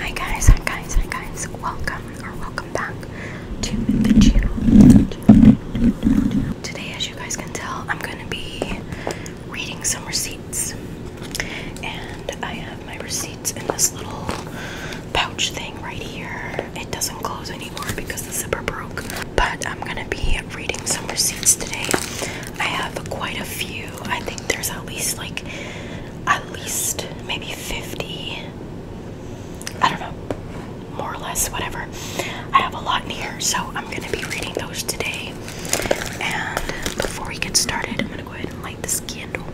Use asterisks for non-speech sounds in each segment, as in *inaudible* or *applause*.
Hi guys, hi guys, hi guys. Welcome or welcome back to the channel. Today, as you guys can tell, I'm going to be reading some receipts. And I have my receipts in this little pouch thing right here. It doesn't close anymore because the zipper broke. But I'm going to be reading some receipts today. I have quite a few I think there's at least like at least maybe 50. I don't know, more or less, whatever. I have a lot in here, so I'm gonna be reading those today. And before we get started, I'm gonna go ahead and light this candle.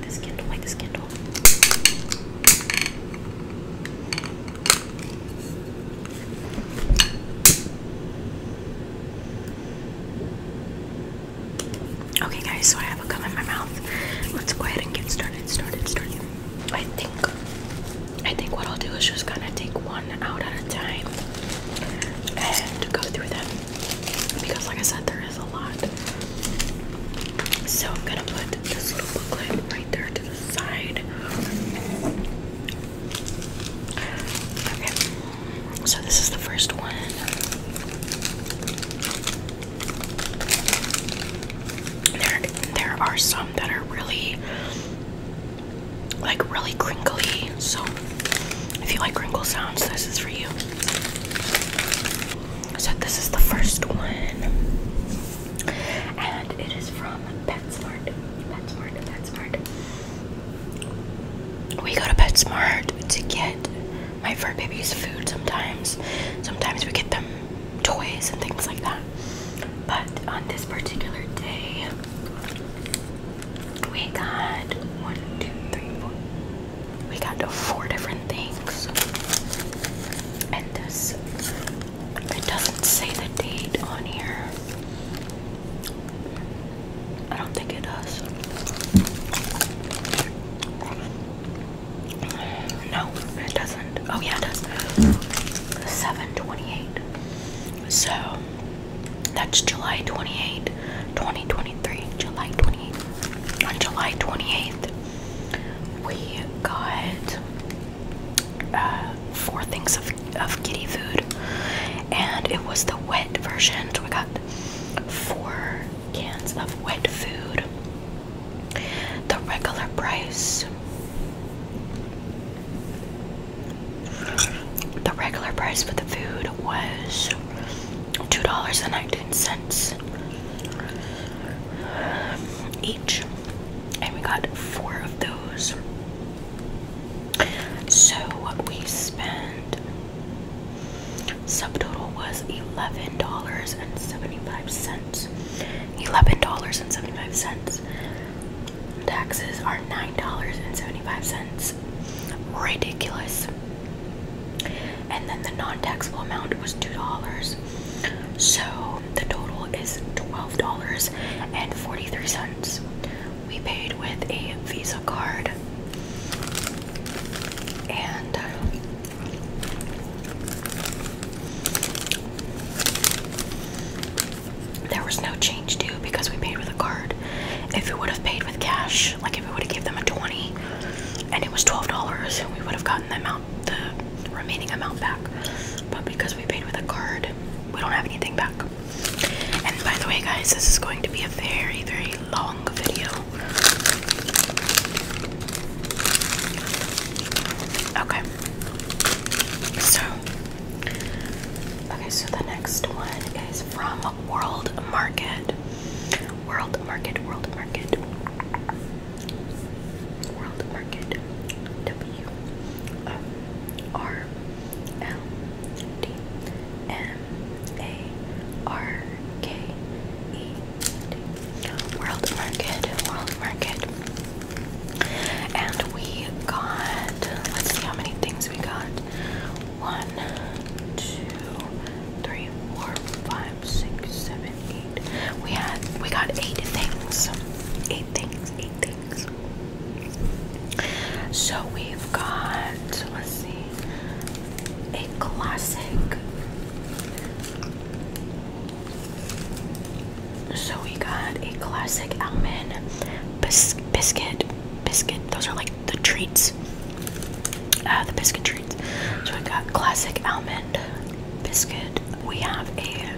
This candle, light this candle. Okay, guys, so I have a gum in my mouth. Let's go ahead and get started, started, started. I think, I think what I'll do is just kind of take one out at a time and go through them because, like I said, there is a lot. So I'm gonna put this little booklet right there to the side. Okay. So this is the first one. There, there are some that are really, like really crinkly. So if you like crinkle sounds, this is for you. So this is the first one, and it is from PetSmart. PetSmart. PetSmart we go to PetSmart to get my fur babies food sometimes. Sometimes we get them toys and things like that. But on this particular day, we got one, two, three, four. We got four different things. And this, it doesn't say the date on here. I don't think it does. No, it doesn't. Oh yeah, it does. 728. So that's July twenty-eighth, 2023. July 28th. On July 28th, we got uh, four things of, of kitty food, and it was the wet version. So we got four cans of wet food. The regular price. The regular price for the food was $2.19 each, and we got four of those. So what we spent Subtotal was eleven dollars and seventy-five cents. Eleven dollars and seventy-five cents. Taxes are nine dollars and seventy-five cents. Ridiculous. And then the non-taxable amount was two dollars. So the total is twelve dollars and forty-three cents. We paid with a Visa card. And uh, there was no change due because we paid with a card. If we would have paid with cash, like if we would have given them a 20 and it was $12, we would have gotten the amount, the remaining amount back. But because we paid with a card, we don't have anything back. And by the way, guys, this is going to be a very, very long video. Okay. So, okay, so the next one is from World Market. World Market, World Market. World Market. W O R L D N a R K E D. World Market, World Market. And we got, let's see how many things we got. One, two, three, four, five, six, seven, eight. We had, we got eight things. Eight things, eight things. So we've got, let's see, a classic. So we got a classic almond biscuit. Biscuit. Those are like the treats. Uh, the biscuit treats. So we got classic almond biscuit. We have a.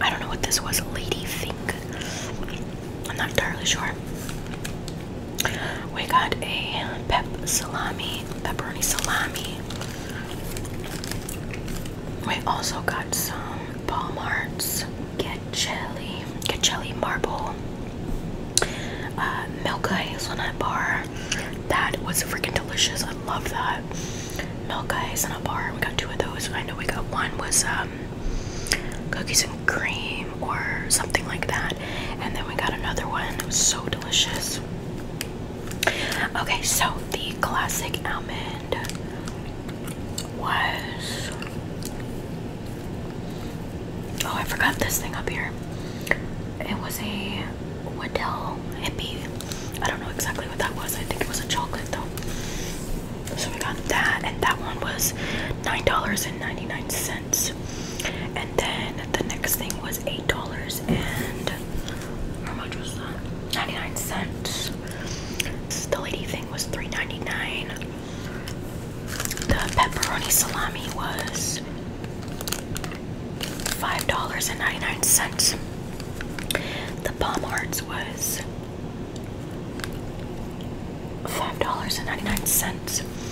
I don't know what this was. Lady Fink. I'm not entirely sure. We got a pep salami, pepperoni salami. We also got some Palmarts get jelly, get jelly marble, uh, milk hazelnut bar. That was freaking delicious. I love that milk a bar. We got two of those. I know we got one was um, cookies and cream or something like that. And then we got another one. It was so delicious. Okay, so the classic almond was. Oh, I forgot this thing up here. It was a Waddell hippie. I don't know exactly what that was. I think it was a chocolate though. So we got that, and that one was $9.99. And then the next thing was eight dollars and how much was that? 99 cents. The lady thing was $3.99. The pepperoni salami was $5.99. The palm hearts was $5.99.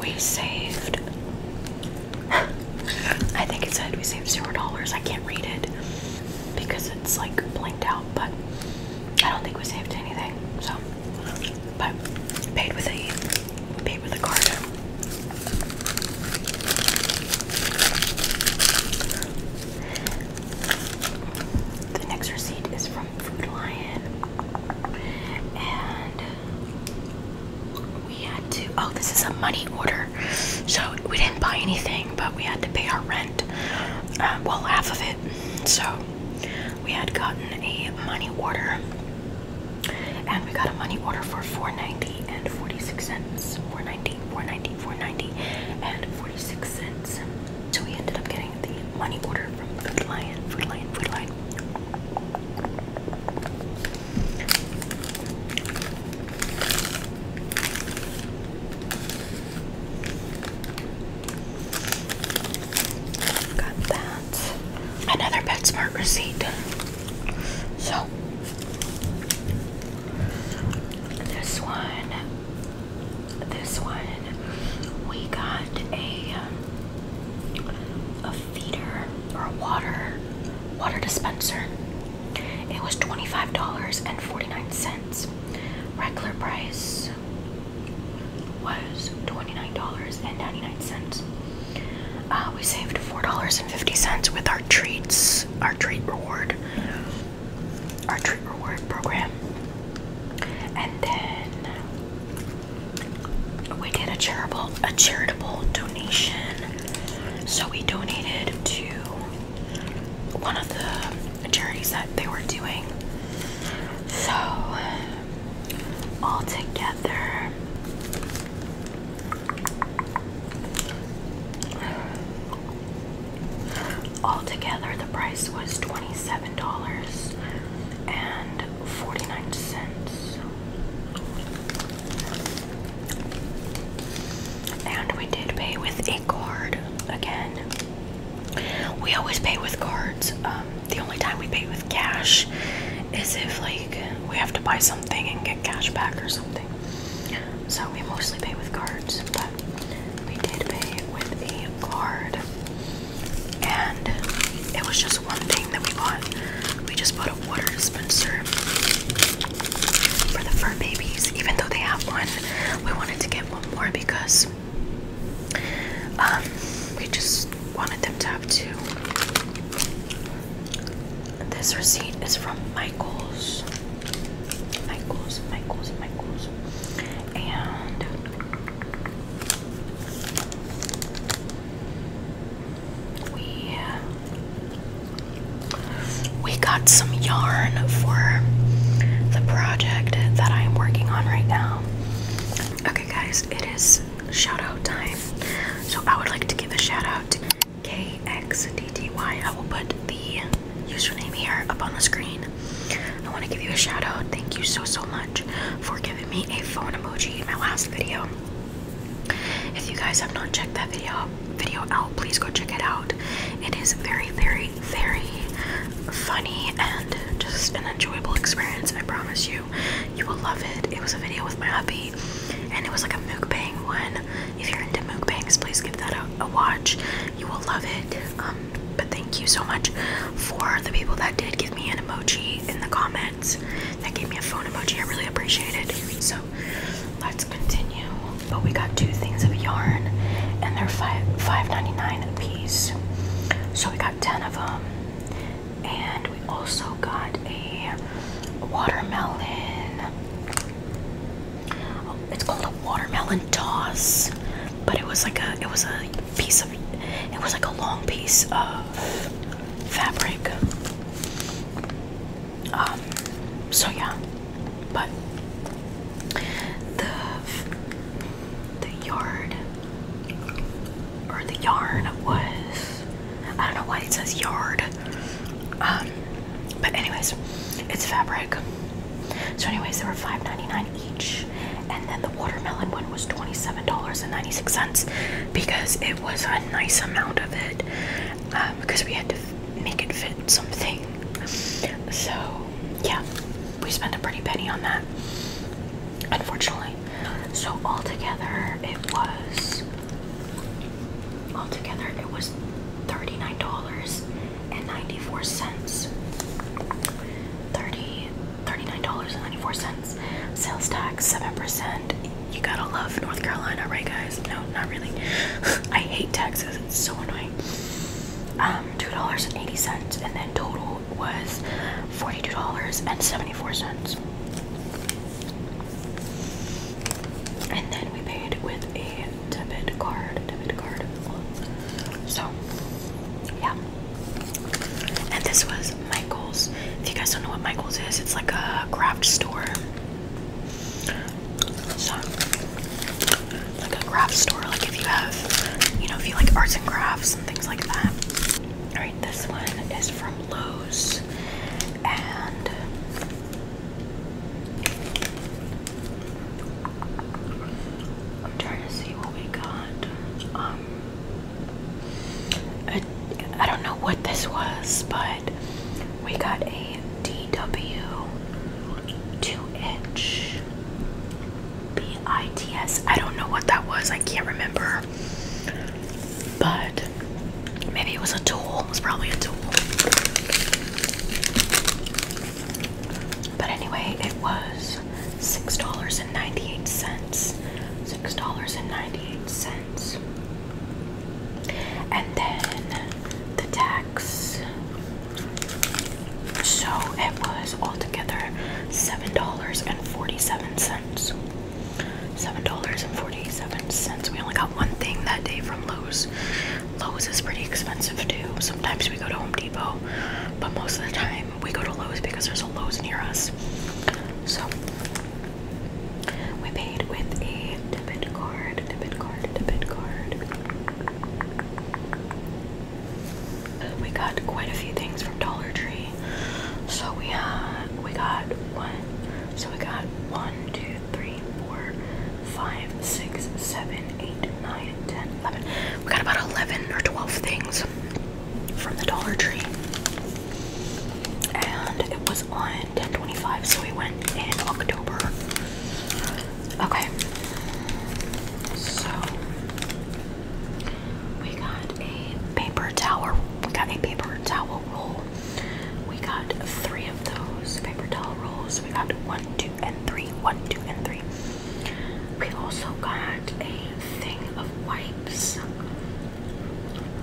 We saved. I think it said we saved zero dollars. I can't read it because it's like blanked out, but I don't think we saved anything. So, but paid with a paid with a card. The next receipt is from from Food Lion, and we had to. Oh, this is a money order, so we didn't buy anything, but we had to pay our rent. Um, well, half of it. So we had gotten a money order, and we got a money order for four ninety and forty six cents. Four ninety, four ninety, four ninety, and forty six cents. So we ended up getting the money order from Food Lion, Food Lion, Food Lion. Got that. Another PetSmart receipt. So this one, this one, we got a um, a feeder or a water water dispenser. It was $25.49. Regular price was $29.99. Uh, we saved $4.50 with our treats, our treat reward, our treat reward program. And then we did a charitable a charitable donation. So we donated to one of the charities that they were doing. So all together Altogether, the price was $27, and 49 cents. And we did pay with a card again. We always pay with cards. Um, the only time we pay with cash is if, like, we have to buy something and get cash back or something. So we mostly pay with cards, but we did pay with a card and it was just one thing that we bought. We just bought a water dispenser for the fur babies, even though they have one. We wanted to get one more because um, we just wanted them to have two. This receipt is from Michaels. Michaels, Michaels, Michaels. And we we got some yarn for the project that I am working on right now. Okay guys, it is shout out time. So I would like to give a shout out to KXDTY. I will put the username here up on the screen. I want to give you a shout out. Thank you so so much for giving me a phone emoji in my last video. If you guys have not checked that video video out, please go check it out. It is very, very, very funny and just an enjoyable experience. I promise you, you will love it. It was a video with my hubby, and it was like a mukbang one. If you're into mukbangs, please give that a, watch. You will love it. Um, but thank you so much for the people that did give me an emoji in the comments that gave me a phone emoji. I really appreciate it. So let's continue. But we got two things of yarn, and they're five five ninety nine a piece. So we got ten of them, and we also got a watermelon. Oh, it's called a watermelon toss, but it was like a it was a piece of it was like a long piece of fabric. Um, so yeah, but the the yard or the yarn was I don't know why it says yard. Um, but anyways, it's fabric. So anyways, they were five ninety nine each, and then the watermelon was one was $27.96 because it was a nice amount of it because um, we had to make it fit something. So, yeah, we spent a pretty penny on that, unfortunately. So, altogether, it was. Altogether, it was $39.94. $39.94. $39.94. Sales tax, 7%. You gotta love North Carolina, right, guys? No, not really. *laughs* I hate taxes, it's so annoying. Um, $2.80, and then total was $42.74. And then we paid with a debit card, debit card. So, yeah. And this was Michael's. If you guys don't know what Michael's is, it's like a craft store. So, like a craft store, like if you have, you know, if you like arts and crafts and things like that. Alright, this one is from Lowe's. And I'm trying to see what we got. Um I, don't know what this was, but we got a DW two inch BITS. I don't know what that was, I can't remember. But maybe it was a tool, it was probably a tool. But anyway, it was $6.98. $6.98. And then the tax. So it was altogether seven dollars and forty-seven cents. Seven dollars and forty-seven cents. We only got one thing that day from Lowe's. Lowe's is pretty expensive too. Sometimes we go to Home Depot, but most of the time we go to Lowe's because there's a Lowe's near us. So we paid with a debit card, debit card, debit card. We got quite a few things from Dollar Tree. So we uh, we got one. So we got one, two, three, four, five, six, seven, eight, nine, ten, eleven. We got about eleven or twelve things from the Dollar Tree. And it was on 1025, so we went in October. Okay. So we got a paper towel. We got a paper towel roll. We got three of those paper towel rolls. We got one, two, and three. One, two, and three. We also got a thing of wipes.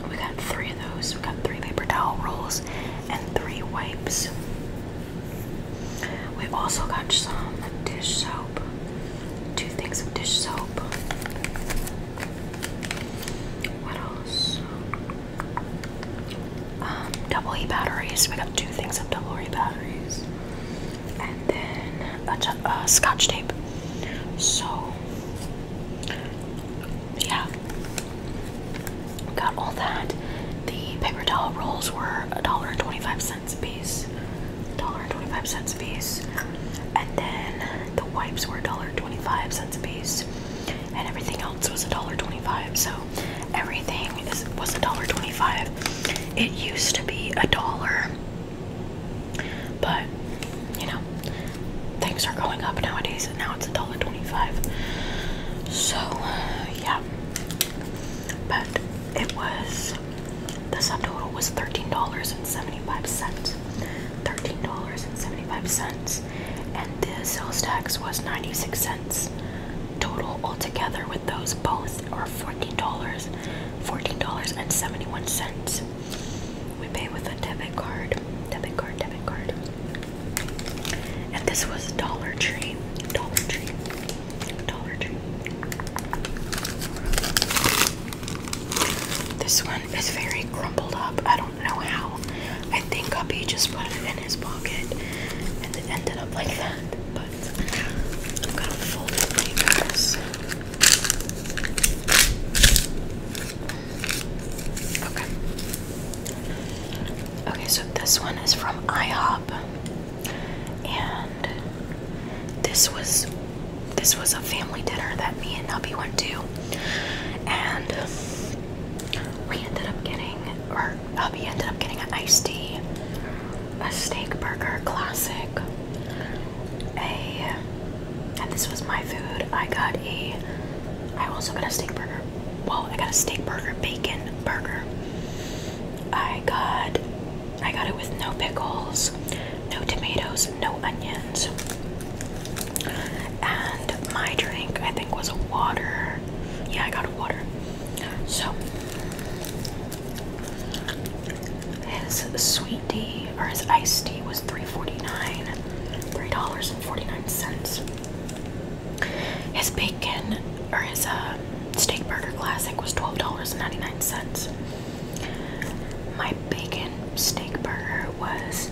We got three of those. We got three paper towel rolls and three wipes. We also got some dish soap, two things of dish soap. What else? Um, double E batteries. We got two things of double E batteries, and then a uh, scotch tape. So yeah, got all that. The paper towel rolls were a dollar and twenty-five cents a piece. Dollar and twenty-five cents a piece, and then the wipes were a dollar twenty-five cents a piece, and everything else was a dollar twenty-five. So everything was a dollar twenty-five. It used to be a dollar but you know, things are going up nowadays, and now it's a dollar twenty-five. So yeah, but it was the subtotal was thirteen dollars and seventy-five cents. Thirteen dollars and seventy-five cents, and the sales tax was ninety-six cents total altogether with those both are $14 $14.71 we pay with a debit card. Debit card, debit card. And this was Dollar Tree. Dollar Tree. Dollar Tree. This one is very crumpled up. I don't know how. I think Guppy just put it in his pocket and it ended up like that. But I'm gonna fold it Okay. Okay, so this one is from IHOP, and this was this was a family dinner that me and hubby went to, and we ended up getting, or hubby ended up getting an iced tea, a steak burger classic, a and this was my food. I got a. I also got a steak burger. Well, I got a steak burger, bacon burger. I got. I got it with no pickles, no tomatoes, no onions. And my drink, I think, was a water. Yeah, I got a water. So. His sweet sweet tea or his iced tea was $3.49, $3.49. His bacon or his uh, steak burger classic was $12.99. My bacon steak burger was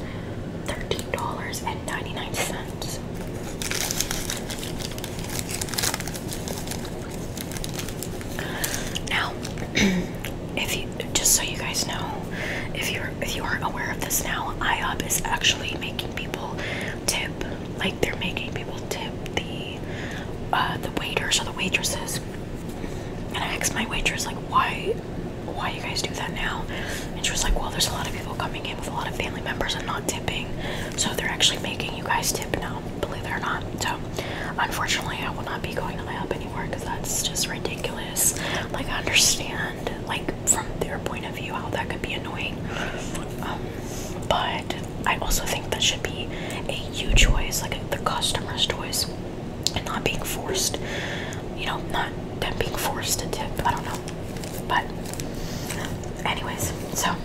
$13.99. Now, *clears throat* if you just so you guys know, if you're if you aren't aware of this now, IHOP is actually making people tip. Like they're making people tip the uh, the waiters or the waitresses. And I asked my waitress like why why you guys do that now? And she was like, Well, there's a lot of people coming in with a lot of family members and not tipping. So they're actually making you guys tip now, believe it or not. So unfortunately I will not be going to IHOP because that's just ridiculous. Like, I understand, like, from their point of view, how that could be annoying. Um, but I also think that should be a you choice, like the customer's choice, and not being forced, you know, not them being forced to tip. I don't know. But, anyways, so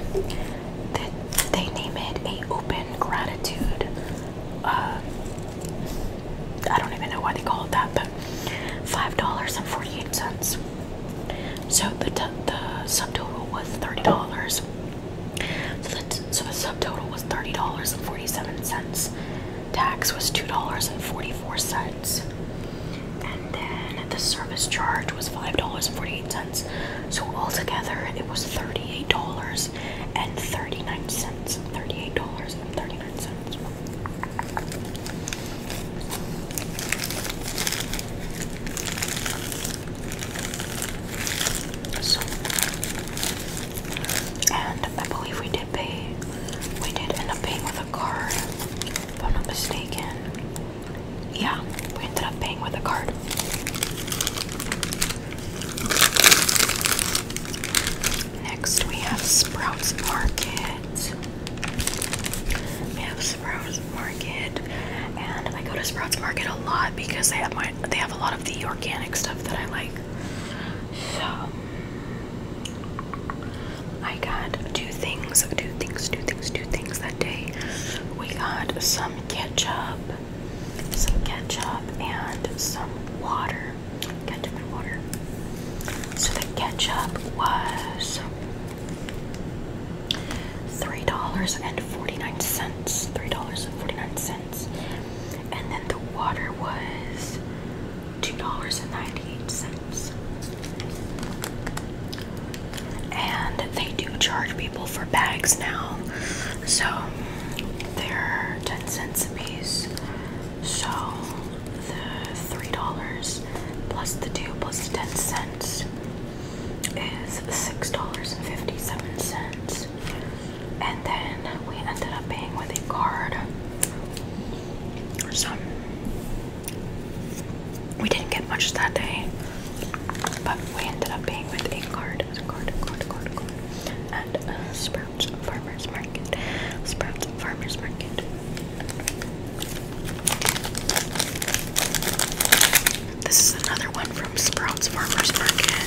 they name it a open gratitude uh, I don't even know why they call it that, but five dollars and forty-eight cents. So the the subtotal was thirty dollars. So the so the subtotal was thirty dollars and forty-seven cents. Tax was two dollars and forty-four cents, and then the service charge was five dollars and forty-eight cents. So altogether, it was thirty-eight dollars and thirty-nine cents. Thirty-eight dollars and thirty and I believe we did pay, we did end up paying with a card, if I'm not mistaken. Yeah, we ended up paying with a card. Next, we have Sprouts Market. We have Sprouts Market, and I go to Sprouts Market a lot because they have my they have a lot of the organic stuff that I like. So I got two things, two things, two things, two things that day. We got some ketchup, some ketchup, and some water. Ketchup and water. So the ketchup was three dollars and forty-nine cents. Three dollars and forty-nine cents. And then the water was two dollars and ninety-eight cents. And they do charge people for bags now. So they're 10 cents a piece. So the three dollars plus the two ten cents is six dollars and fifty-seven cents. And then we ended up paying with a card. So we didn't get much that day, but we ended up paying with a card, a card, card, card, card, and a spread. Sprouts Farmers Market. Sprouts Farmers Market. This is another one from Sprouts Farmers Market.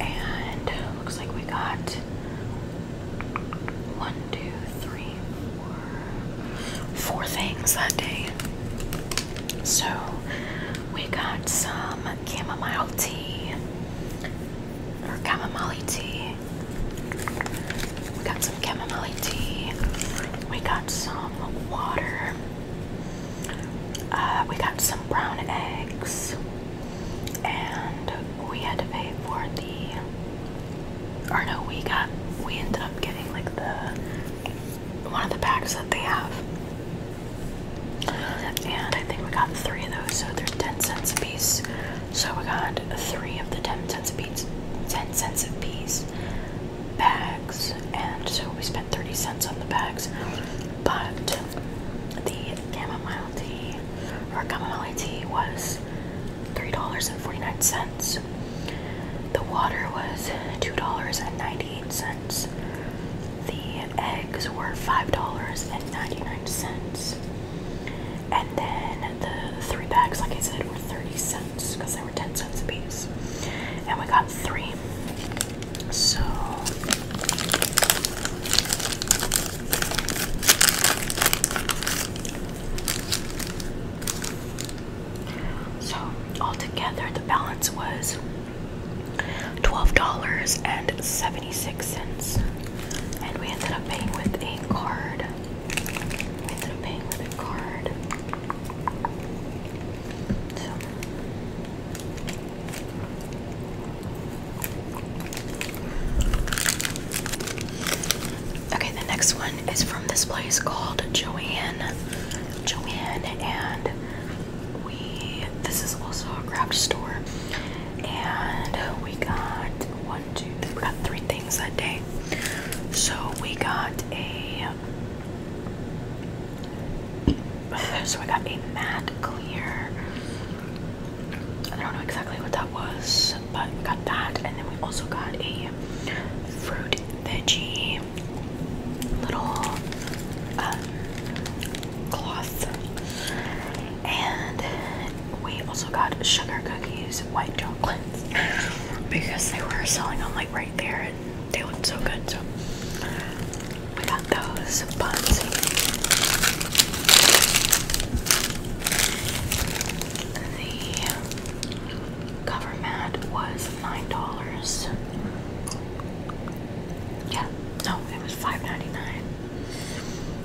And looks like we got one, two, three, four, four things that day. So we got some chamomile tea or chamomile tea. We got some chamomile tea. We got some water. Uh, we got some brown eggs, and we had to pay for the. Or no, we got. We ended up getting like the one of the bags that they have and I think we got three of those, so they're 10 cents a piece. So we got three of the 10 cents a piece, 10 cents a piece bags, and so we spent 30 cents on the bags. But the chamomile tea or chamomile tea was $3.49. The water was $2.98 the eggs were $5.99. And then the three bags, like I said, were 30 cents because they were 10 cents a piece. And we got three. So. So altogether the balance was $12.76. And we ended up paying with a card. We ended up paying with a card. Okay, the next one is from this place called Joanne. Joanne and we this is also a craft store and we got one two three we got three things that day so we got a *sighs* so we got a matte clear I don't know exactly what that was but we got that and then we also got a fruit veggie little um, cloth. And we also got sugar cookies, white chocolates, *laughs* because they were selling them like right there and they looked so good. So we got those buns. The cover mat was $9. Yeah, no, it was $5.99.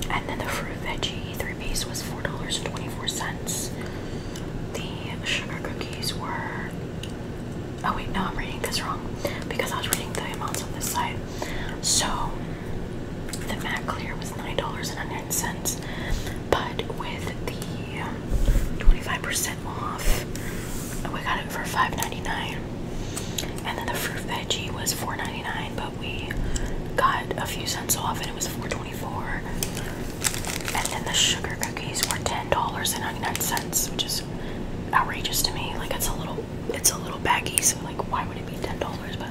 And then the fruit veggie three piece was $4.24. The sugar cookies were. Oh, wait, no, I'm reading this wrong because I was reading the amounts on this side. So the Mac Clear was $9.09, but with the 25% um, off we got it for $5.99. And then the fruit veggie was $4.99, but we got a few cents off and it was $4.24. And then the sugar cookies were $10.99, which is outrageous to me. Like it's a little it's a little baggy, so like why would it be $10? But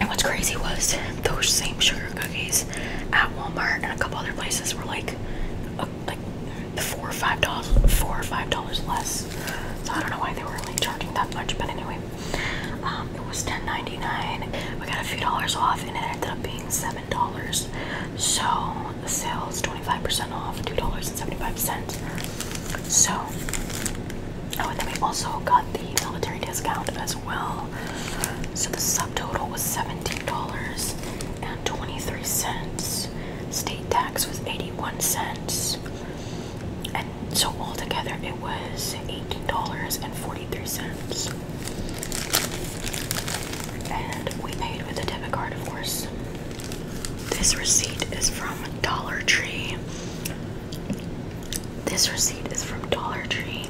and what's crazy was those same sugar cookies at Walmart and a couple other places were like like four or five dollars, four or five dollars less. So I don't know why they were like charging that much, but anyway, um, it was ten ninety nine. We got a few dollars off, and it ended up being seven dollars. So the sale is twenty five percent off, two dollars and seventy five cents. So oh, and then we also got the military discount as well. So the subtotal was seventeen dollars and twenty three cents. State tax was 81 cents. And so altogether it was $18.43. And we paid with a debit card, of course. This receipt is from Dollar Tree. This receipt is from Dollar Tree.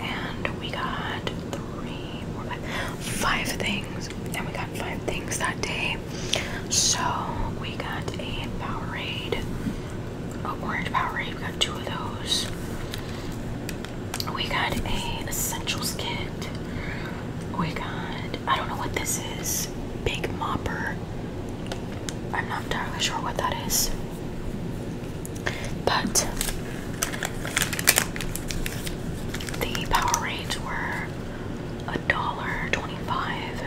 And we got three, four, five, five things. And we got five things that day. So we got a Powerade, oh, orange Powerade. We got two of those. We got an essentials kit. We got I don't know what this is. Big mopper. I'm not entirely sure what that is. But the Powerades were a dollar twenty-five.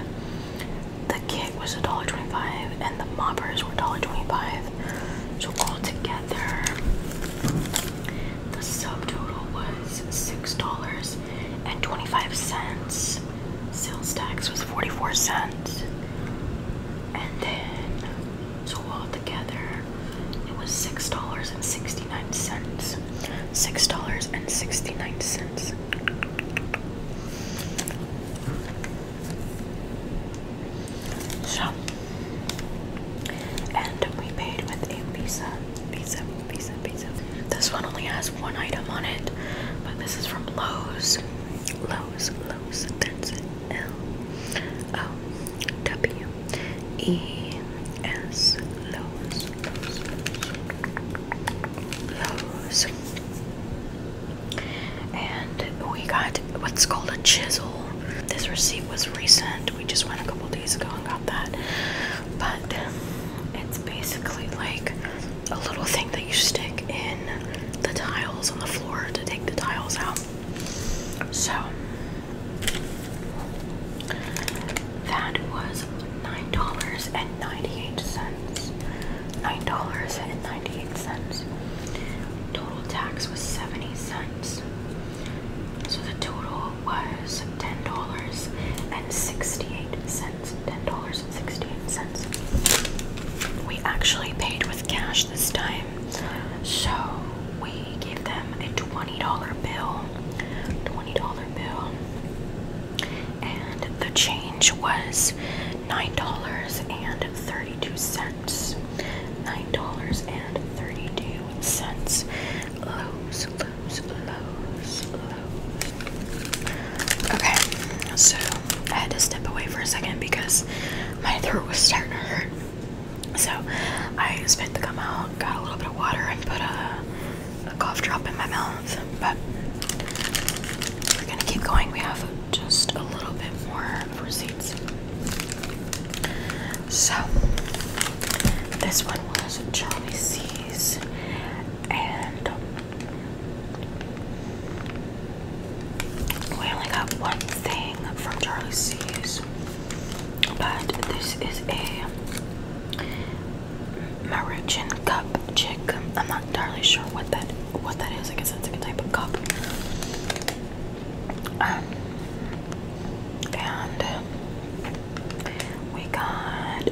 The kit was a dollar twenty-five, and the moppers were dollar twenty-five. So altogether, the subtotal was six dollars and twenty-five cents. Sales tax was forty-four cents, and then so altogether, it was six dollars and sixty. Six dollars and 69 cents. So, and we paid with a pizza, pizza, pizza, pizza. This one only has one item on it, but this is from Lowe's. Lowe's, Lowe's, that's it. L O W E is Lowe's. Lowe's. And we got what's called a chisel. This receipt was recent. We just went a couple days ago and got that. But it's basically like a little thing that you stick in the tiles on the floor to take the tiles out. So that was nine dollars and ninety-eight cents. Nine dollars and ninety-eight cents. Total tax was seventy cents. So the total was ten dollars and sixty-eight cents. Ten dollars and sixty-eight cents. We actually paid with cash this time, so we gave them a twenty dollar bill. Twenty dollar bill and the change was nine dollars and thirty-two cents. Nine dollars and thirty-two cents. Lows, lows, lows, Okay, so I had to step away for a second because my throat was starting to hurt. So I spent the gum out, got a little bit of water, and put a a cough drop in my mouth, but we're gonna keep going. We have just a little bit more receipts. So, this one was Charlie C's, and we only got one thing from Charlie C's, but this is a Maruchan cup chick. I'm not entirely sure what that what that is. I guess it's like a type of cup. Um, and we got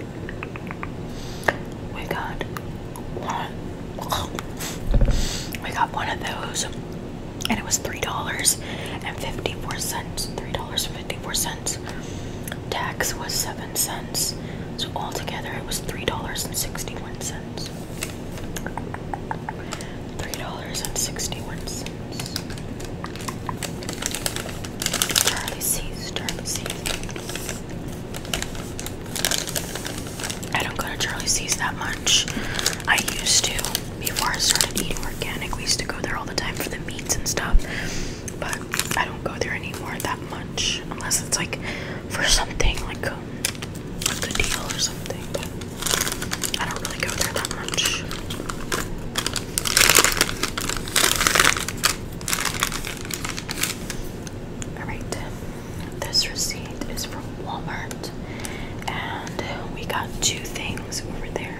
we got one we got one of those and it was three dollars and fifty four cents three dollars and fifty four cents tax was seven cents so altogether, it was three dollars and sixty-one cents. Three dollars and sixty-one cents. Charlie C's, I don't go to Charlie that much. I used to before I started eating organic. We used to go there all the time for the meats and stuff. But I don't go there anymore that much unless it's like for something like um, a, good deal or something. But I don't really go there that much. Alright, this receipt is from Walmart, and we got two things over there.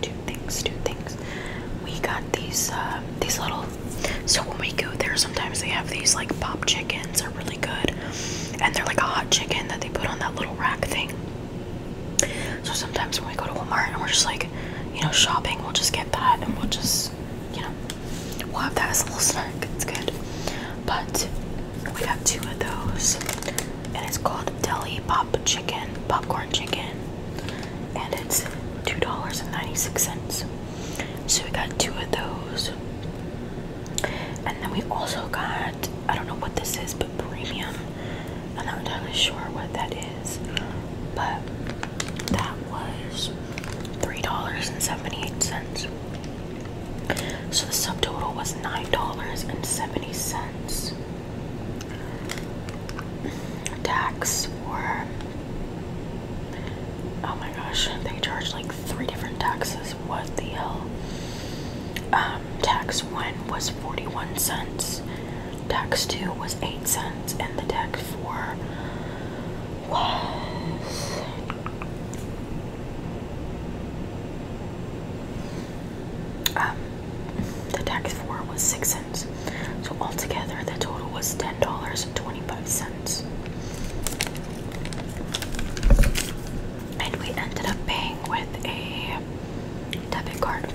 Two things, two things. We got these uh, these little so when we go there, sometimes they have these like pop chickens they are really good, and they're like a hot chicken that they put on that little rack thing. So sometimes when we go to Walmart and we're just like, you know, shopping, we'll just get that and we'll just, you know, we'll have that as a little snack. It's good. But we got two of those, and it's called Deli Pop Chicken, Popcorn Chicken and it's $2.96. So we got two of those. And then we also got, I don't know what this is, but premium. I'm not entirely sure what that is, but that was $3.78. So the subtotal was $9.70 tax for oh my gosh they charge like three different taxes what the hell um, tax one was 41 cents tax two was 8 cents and the tax four was um, the tax four was 6 cents so altogether, the total was ten dollars and twenty-five cents, and we ended up paying with a debit card.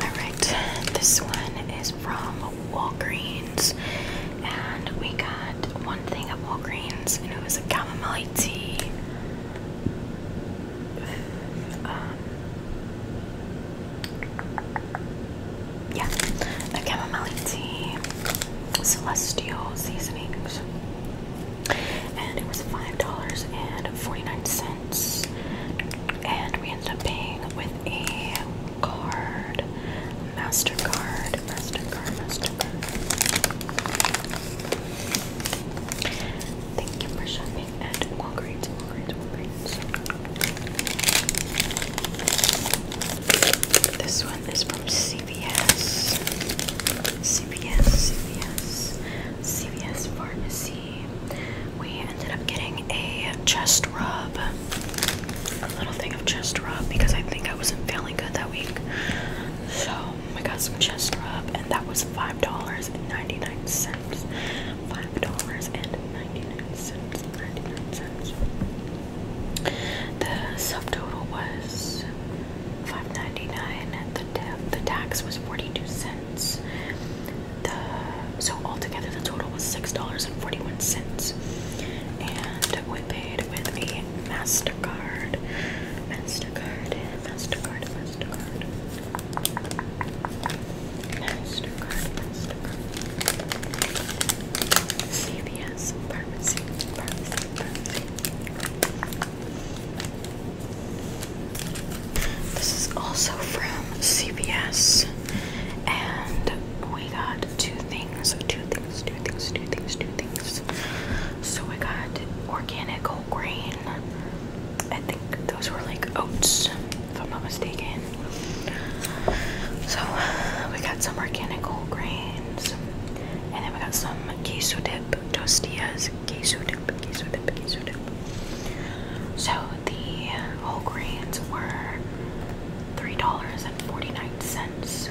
All right, this one is from Walgreens and we got one thing at Walgreens and it was a chamomile tea. Um, yeah, the chamomile tea, celestial seasonings, and it was five dollars and forty nine cents. And we ended up paying with a card. MasterCard, MasterCard, MasterCard. Thank you for shopping Walgreens, Walgreens, Walgreens. This one is from CVS. CVS, CVS, CVS Pharmacy. We ended up getting a chest rub, a little thing of chest rub because I think I was in. feeling good that week. So I got some chest rub, and that was five dollars and ninety nine cents. Five dollars and ninety nine cents. Ninety nine cents. The subtotal was five ninety nine. The the tax was forty two cents. so altogether the total was six dollars and forty one cents. And we paid with a using MasterCard. MasterCard, MasterCard, MasterCard. MasterCard, MasterCard. CVS, pharmacy, This is also from CVS. And we got two things, two things, two things, two things, two things. So we got organic whole grain. I think those were like oats, if I'm not mistaken. So we got some organic whole grains, and then we got some queso dip tostillas, queso dip, queso dip, queso dip. So the whole grains were three dollars and forty nine cents.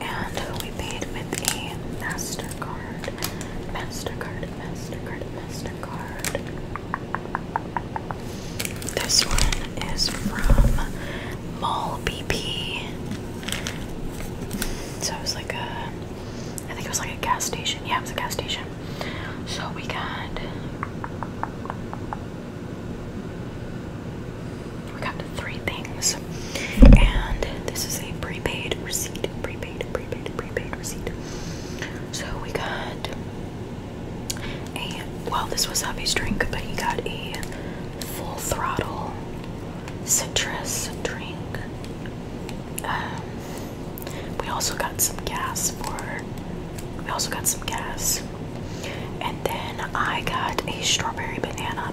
And we paid with a MasterCard. MasterCard, MasterCard, MasterCard. This one is from Mall BP. So it was like a, I think it was like a gas station. Yeah, it was a gas station. So we got we got three things, and this is a prepaid receipt. Prepaid, prepaid, prepaid receipt. So we got a well, this was Abby's drink, but he got a full throttle citrus drink. Um, we also got some gas for. We also got some gas, and then I got a strawberry banana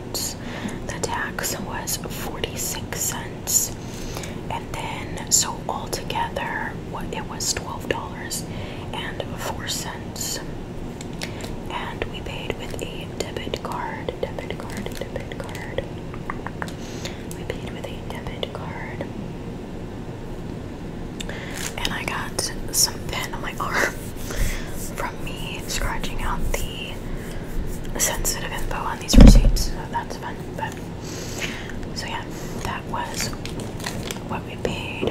The tax was 46 cents. And then, so altogether, it was $12.04. And we paid with a debit card, debit card, debit card. We paid with a debit card. And I got some pen on my *laughs* arm from me scratching out the sensitive info these receipts, so that's fun. But so yeah, that was what we paid,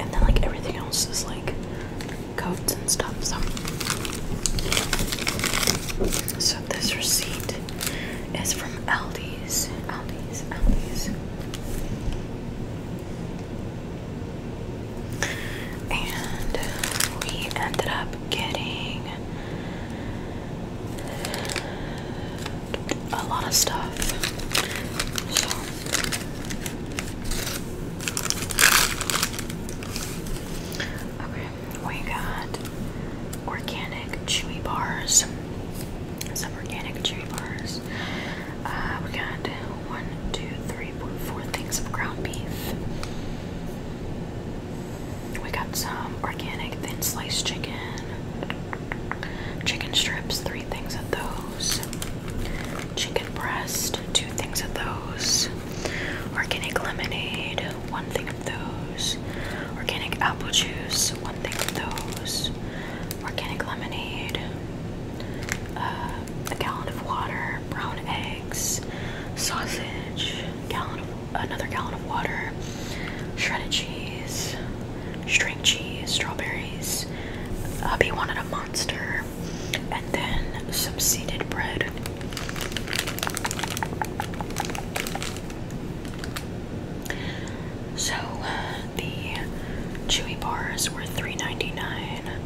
and then like everything else is like coats and stuff. So, so this receipt is from Aldi's, Aldi's, Aldi's. And uh, we ended up getting a lot of stuff. Okay, we got organic chewy bars. Some organic chewy bars. Uh, we got one, two, three, four things of ground beef. We got some organic thin sliced chicken, chicken strips, three things of those, chicken breast, two things of those, organic lemonade, one thing of those, organic apple juice, one thing of those, organic lemonade, uh, a gallon of water, brown eggs, sausage, gallon of, another gallon of water, shredded cheese, string cheese, strawberries. Hubby uh, wanted a monster, and then some seeded bread. So uh, the chewy bars were $3.99.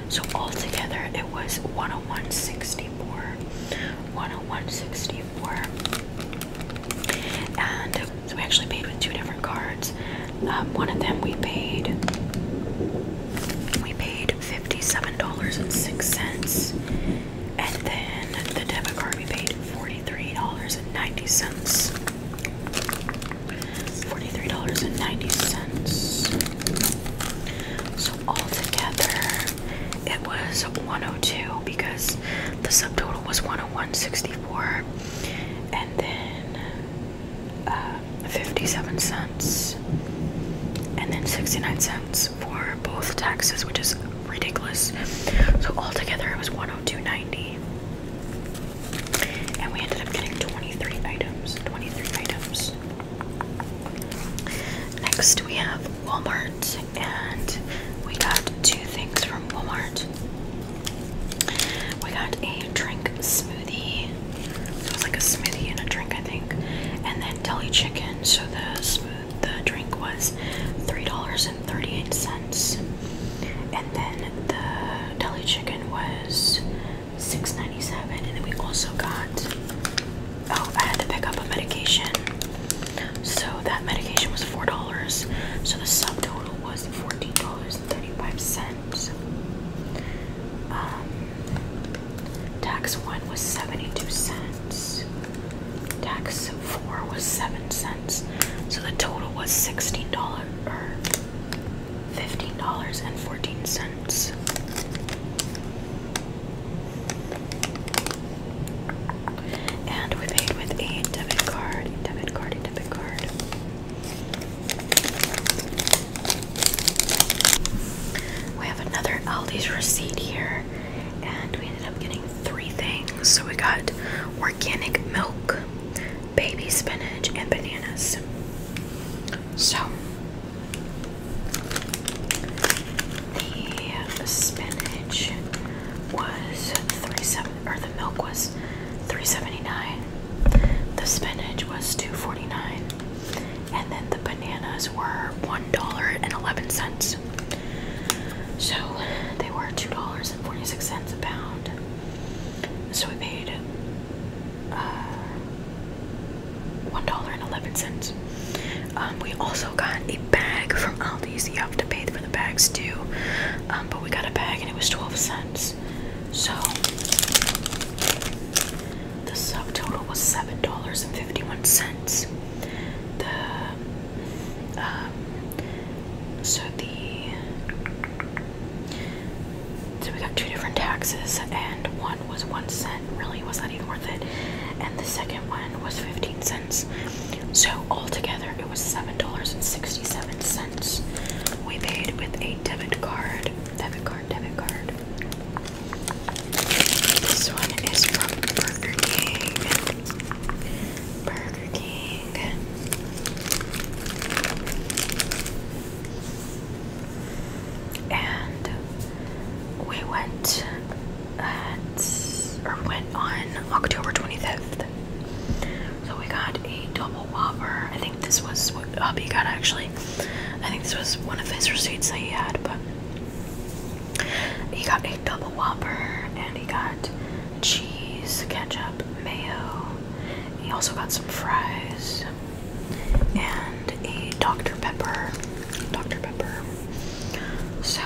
So altogether it was 10164. 10164. And so we actually paid with two different cards. Um, one of them we paid we paid $57.06. And then the debit card we paid $43.90. $43.90. So altogether, it was 102 because the subtotal was 101.64 and then uh, 57 cents and then 69 cents for both taxes, which is ridiculous. So altogether it was 102.90. And we ended up getting 23 items. 23 items. Next we have Walmart and we got two things from Walmart. We got a drink smoothie. it was like a smoothie and a drink I think. And then deli chicken. So the smooth the drink was $3.38. And then the deli chicken was $6.97 and then we also got oh I had to pick up a medication so that medication was four dollars so the subtotal was fourteen dollars and thirty-five cents um, tax one was seventy-two cents tax four was seven cents so the total was sixteen dollars $15.14. And we paid with a debit card, debit card, debit card. We have another Aldi's receipt here, and we ended up getting three things. So we got organic milk, baby spinach, and bananas. So the spinach was 37, or the milk was three seventy nine. The spinach was two forty nine, and then the bananas were one dollar and eleven cents. So they were two dollars and forty six cents a pound. So we paid uh, one dollar and eleven cents. Um, we also got a bag from Aldi, so You have to pay for the bags too, um, but we got a bag and it was twelve cents. So the subtotal was seven dollars and fifty-one cents. The um, so the so we got two different taxes, and one was one cent. Really, was not even worth it. And the second one was fifteen cents. So altogether, it was seven dollars and sixty-seven cents. We paid with a debit card. Debit card. Debit card. This one is from Burger King. Burger King and we went or went on October 25th. So we got a double whopper. I think this was what hubby got actually. I think this was one of his receipts that he had, but he got a double whopper and he got cheese, ketchup, mayo. He also got some fries and a Dr. Pepper. Dr. Pepper. So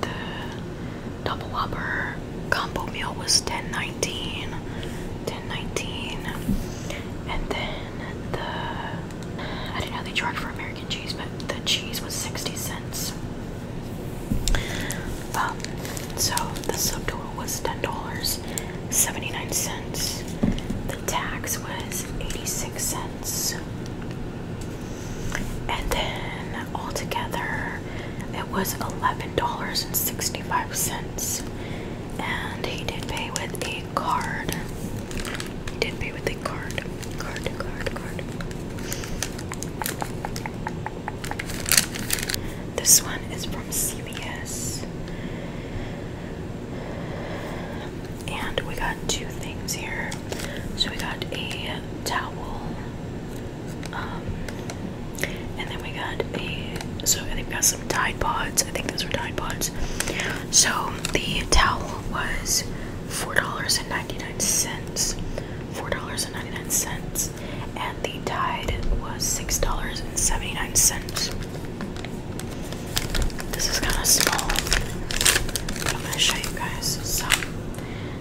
the double whopper combo meal was $10.19. $10.19. And then the I don't know they charge for American cheese, but the cheese was 60 cents. Um so the subtotal was 10 dollars 79 cents. The tax was 86 cents. And then altogether it was $11.65. And he did pay with a card. He did pay with a card. Card, card, card. This one is from CVS. And we got two things here. So we got a towel, um, and then we got a. So I think we got some Tide Pods. I think those were Tide Pods. So the towel was four dollars and ninety nine cents. Four dollars and ninety nine cents, and the Tide was six dollars and seventy nine cents. This is kind of small, but I'm going to show you guys. So,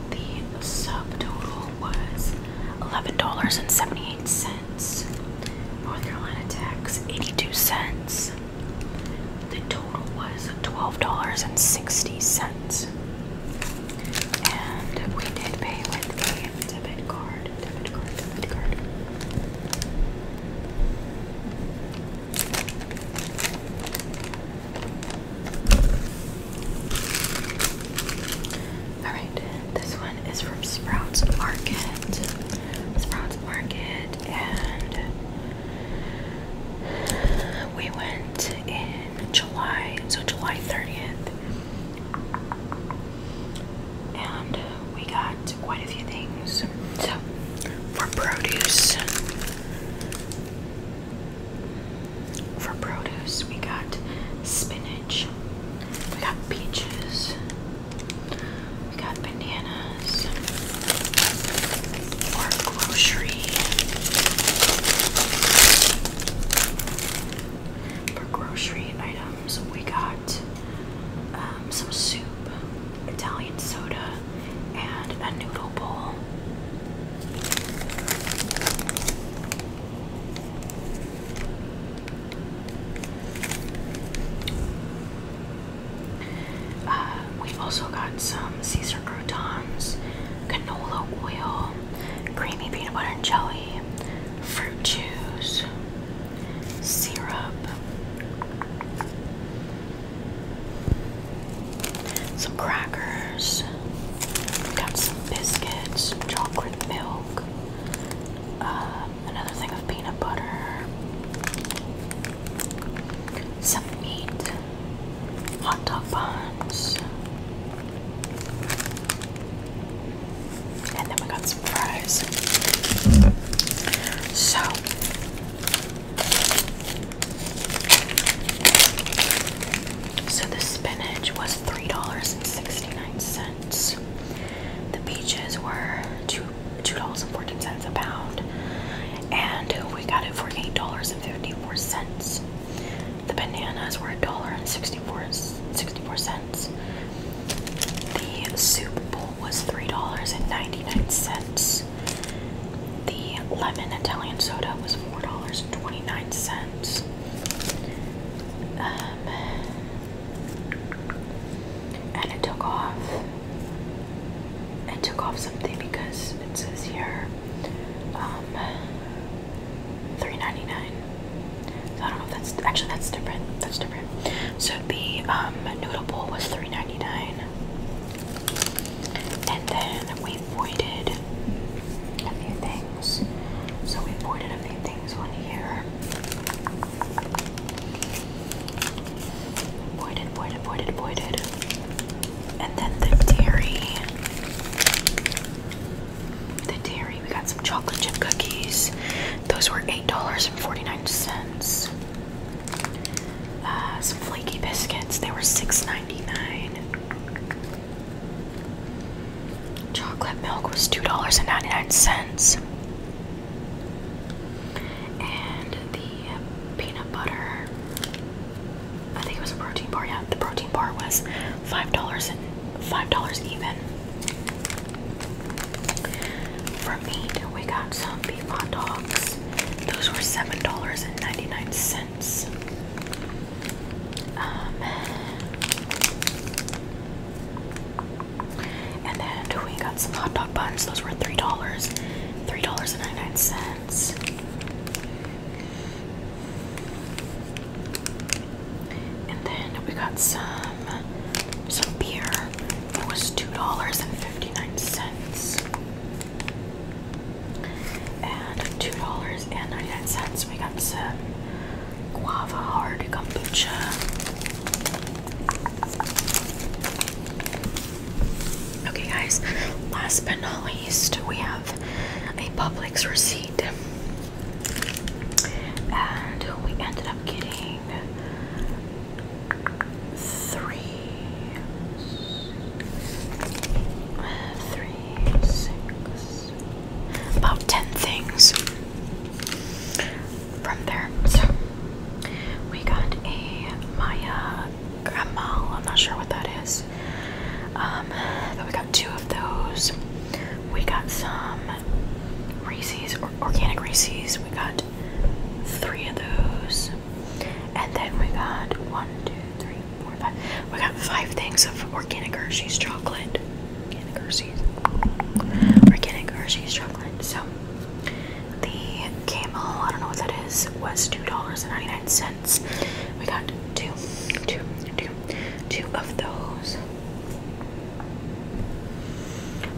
the subtotal was $11.78. North Carolina tax, 82 cents. The total was $12.60. And we did pay with a debit card. Alright, this one is from Sprouts Market. Sprouts Market, and we went in July, so July 30th. And we got quite a few things. So, for produce, for produce, we got spinach, we got peaches, we got bananas, or grocery. For grocery items. Um, so We got um, some soup, Italian soda, and a noodle bowl. Uh, we've also got some Caesar croutons, canola oil, creamy peanut butter and jelly, fruit juice, syrup, some crackers, got some biscuits, chocolate milk, uh, another thing of peanut butter, some meat, hot dog buns. And then we got so so the spinach was three dollars and sixty nine cents. The peaches were two two dollars and fourteen cents a pound, and we got it for eight dollars and fifty four cents. The bananas were a dollar and sixty four sixty four cents. The soup bowl was $3.99. The lemon Italian soda was $4.29. Um, and it took off. It took off something because it says here um, $3.99. So I don't know if that's actually That's different separate. So the um, noodle bowl was $3.99. And then we voided a few things. So we voided a few things on here. Voided, voided, voided, voided. And then the dairy. The dairy, we got some chocolate chip cookies. Those were $8.49. Uh, some flaky biscuits. They were $6.99. Chocolate milk was $2.99. And the peanut butter, I think it was a protein bar, yeah. The protein bar was $5 $5 even. For meat, we got some beef hot dogs. Those were seven dollars and ninety-nine cents. Um, and then we got some hot dog buns. Those were three dollars, three dollars and ninety-nine cents. And then we got some some beer. It was two dollars and fifty. 2 dollars And $2.99 we got some guava hard kombucha. Okay guys, last but not least we have a Publix receipt. And we ended up getting three, three, six, about ten things from there. So we got a Maya Gamal, I'm not sure what that is. Um, but we got two of those. We got some Reese's or organic Reese's. We got three of those. And then we got one, two, three, four, five. We got five things of organic Hershey's chocolate. Organic Hershey's. Organic Hershey's chocolate. So the camel, I don't know what that is, was $2.99. We got two, two, two, two of those.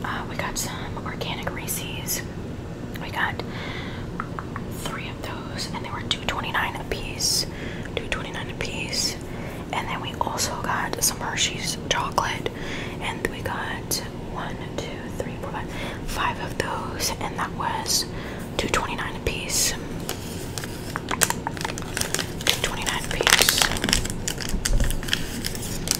Uh, we got some organic Reese's. We got three of those, and they were two twenty nine dollars 29 a piece. 2 a piece. And then we also got some Hershey's chocolate, and we got one, two, three, four, five, five of those, and that was two twenty nine dollars 29 a piece. 2 a piece.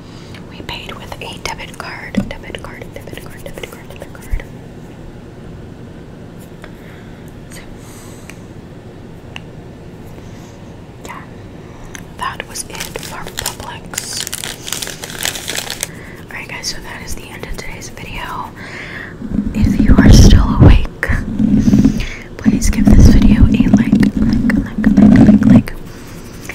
We paid with a debit card, debit card, debit card, debit card, debit card. yeah, that was it for Publix. Alright, guys, so that is the end of today's video. If you are still awake, please give this video a like, like, like, like, like, like